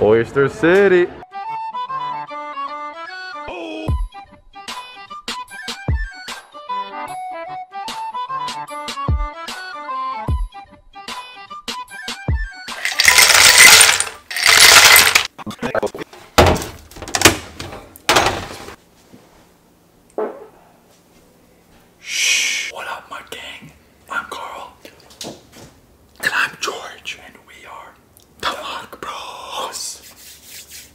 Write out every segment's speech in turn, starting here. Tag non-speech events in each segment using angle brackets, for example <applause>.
Oyster City. Shh. What up, my gang? I'm Carl. And I'm George. And we are the Lock Bros.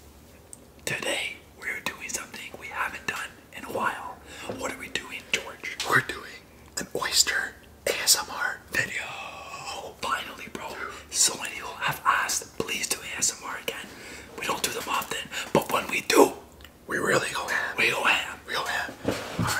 Today we're doing something we haven't done in a while. What are we doing, George? We're doing an oyster ASMR video. Finally, bro. So many people have asked, please do ASMR again. We don't do them often, but when we do, we really go ham. We go ham. We go ham. All right.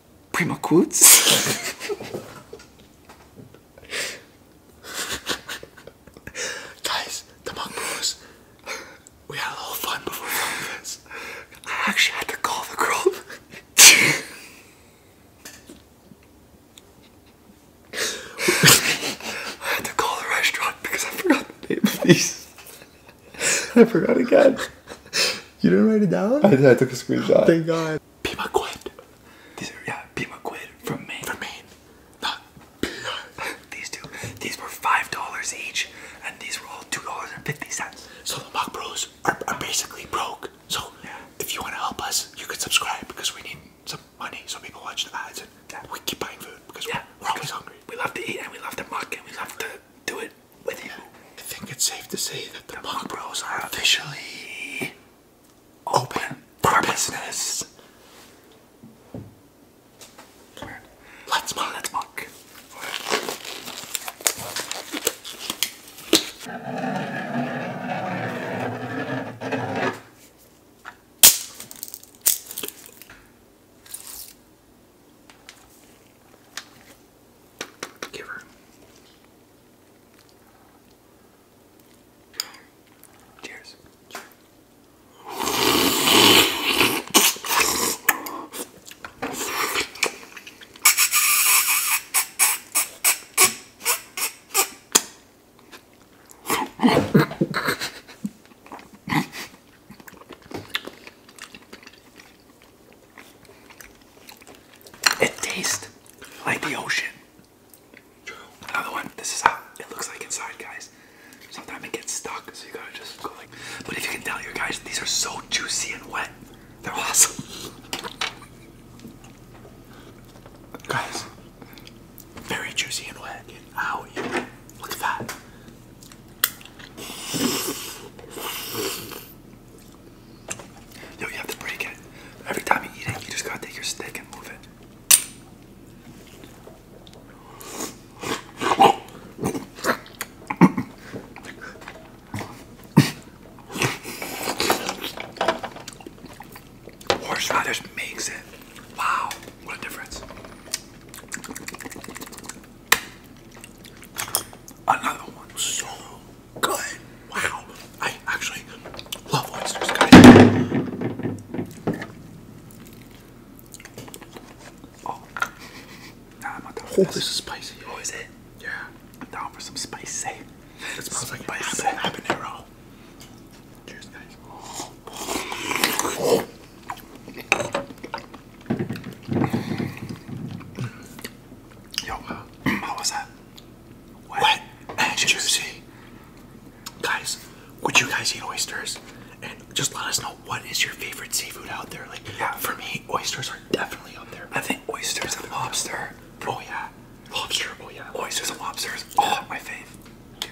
Primo quotes. Guys, the Monk Bros, we had a little fun before this. I actually had to call the girl. <laughs> I had to call the restaurant because I forgot the name of these. <laughs> I forgot again. You didn't write it down? I took a screenshot. Thank God. Pima Quid. These are, yeah, Pima Quid from me. From me. Not These two. These were $5 each, and these were all $2.50. So the Mock Bros are, basically broke. So if you want to help us, you could subscribe because we need some money so people watch the ads and we keep buying food because we're, always hungry. We love to eat and we love to mock and we love to do it. I think it's safe to say that the, the Punk Bros are officially open, for business. Let's mug, let's mug. Give her. Cheers. Cheers. <laughs> It tastes like the ocean. Another one. This is how it looks like inside, guys. Sometimes it gets stuck, so you gotta just go like. But if you can tell your guys, these are so juicy and wet. They're awesome. Guys, very juicy and wet. Get Look at that. Yo, you have to break it. Every time you eat it, you just gotta take your stick and move it. Horseradish makes it. Wow, what difference. Another one so good. Wow. I actually love oysters, guys. Oh. this. is spicy. Oh, is it? Yeah. down for some spicy. It smells like habanero. Yo, how was that? What? Wet and juicy. Guys, would you guys eat oysters? And just let us know what is your favorite seafood out there. Like, for me, oysters are definitely up there. I think oysters and lobster. Oh yeah, lobster. Oh yeah, oysters and lobsters. Oh, my fave. dude.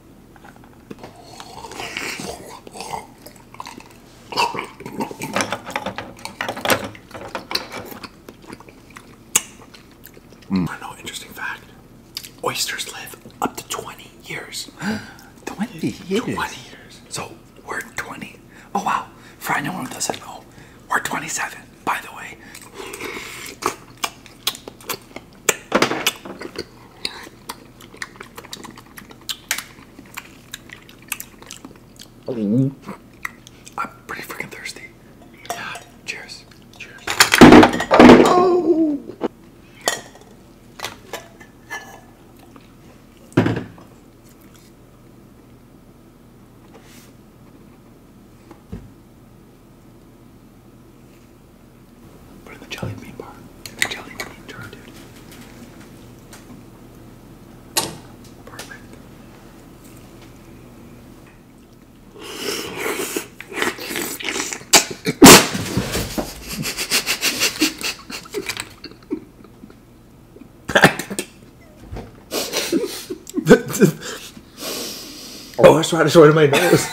Mm. I know, interesting fact. Oysters live up to 20 years. <gasps> 20 years? 20 years. So we're 20. Oh wow, for anyone who doesn't know, we're 27, by the way. Mm. I'm pretty freaking thirsty. Yeah. Cheers. Cheers. Oh. Put in the jelly bean bar. The jelly bean jar, dude. Perfect. the, <laughs> the, Oh, that's right, it's right in my nose.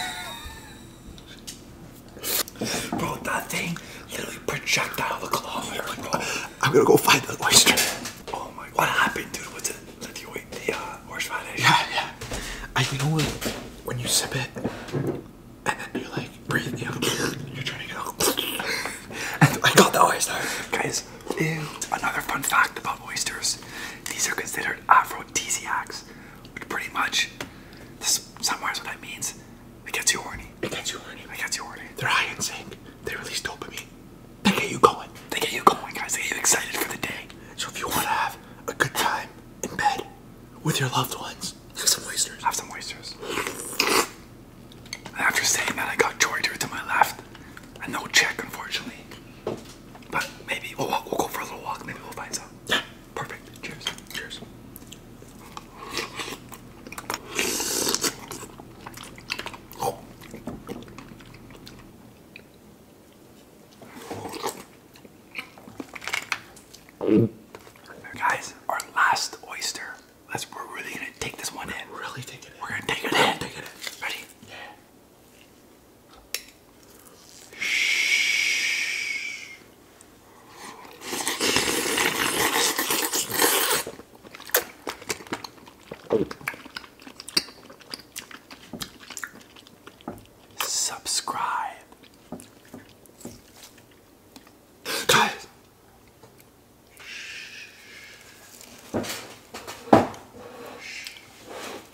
<laughs> Bro, that thing literally projectile the claw. I'm gonna go find the oyster. Oh my god. What happened, dude? What's it? Did you wait the uh, horse radish? Yeah, yeah. I, you know what? When you sip it, and then you're like, breathe, you know, you're trying to go. and I got the oyster. Guys, ew. another fun fact about oysters. These are considered Afro with TCX, pretty much, this somewhere is what that means. It gets you horny. It gets you horny. It gets you horny. They're high in zinc. They release dopamine. They get you going. They get you going, guys. They get you excited for the day. So if you want to have a good time in bed with your loved ones, have some oysters. Have some oysters. After saying that, I got Georgia to my left, and no check, unfortunately. But maybe we'll go for a little walk. Maybe we'll find some. Yeah. Perfect. Cheers. Cheers. Guys, our last oyster. Let's, we're really gonna take this one in. Really take it in. We're gonna take it in. Take it in. Ready? Yeah. Subscribe. Guys.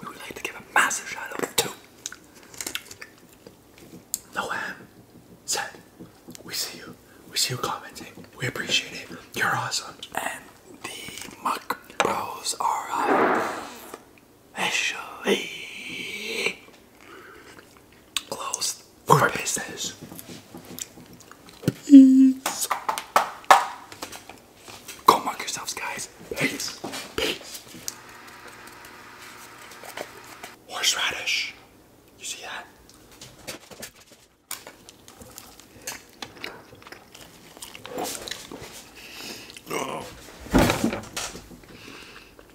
We would like to give a massive shout out to Noam said, We see you. We see you commenting. We appreciate it. You're awesome. And the Muck Bros are officially Closed for business. Peace. Go mark yourselves, guys. Peace. Peace. Horseradish. You see that? Oh.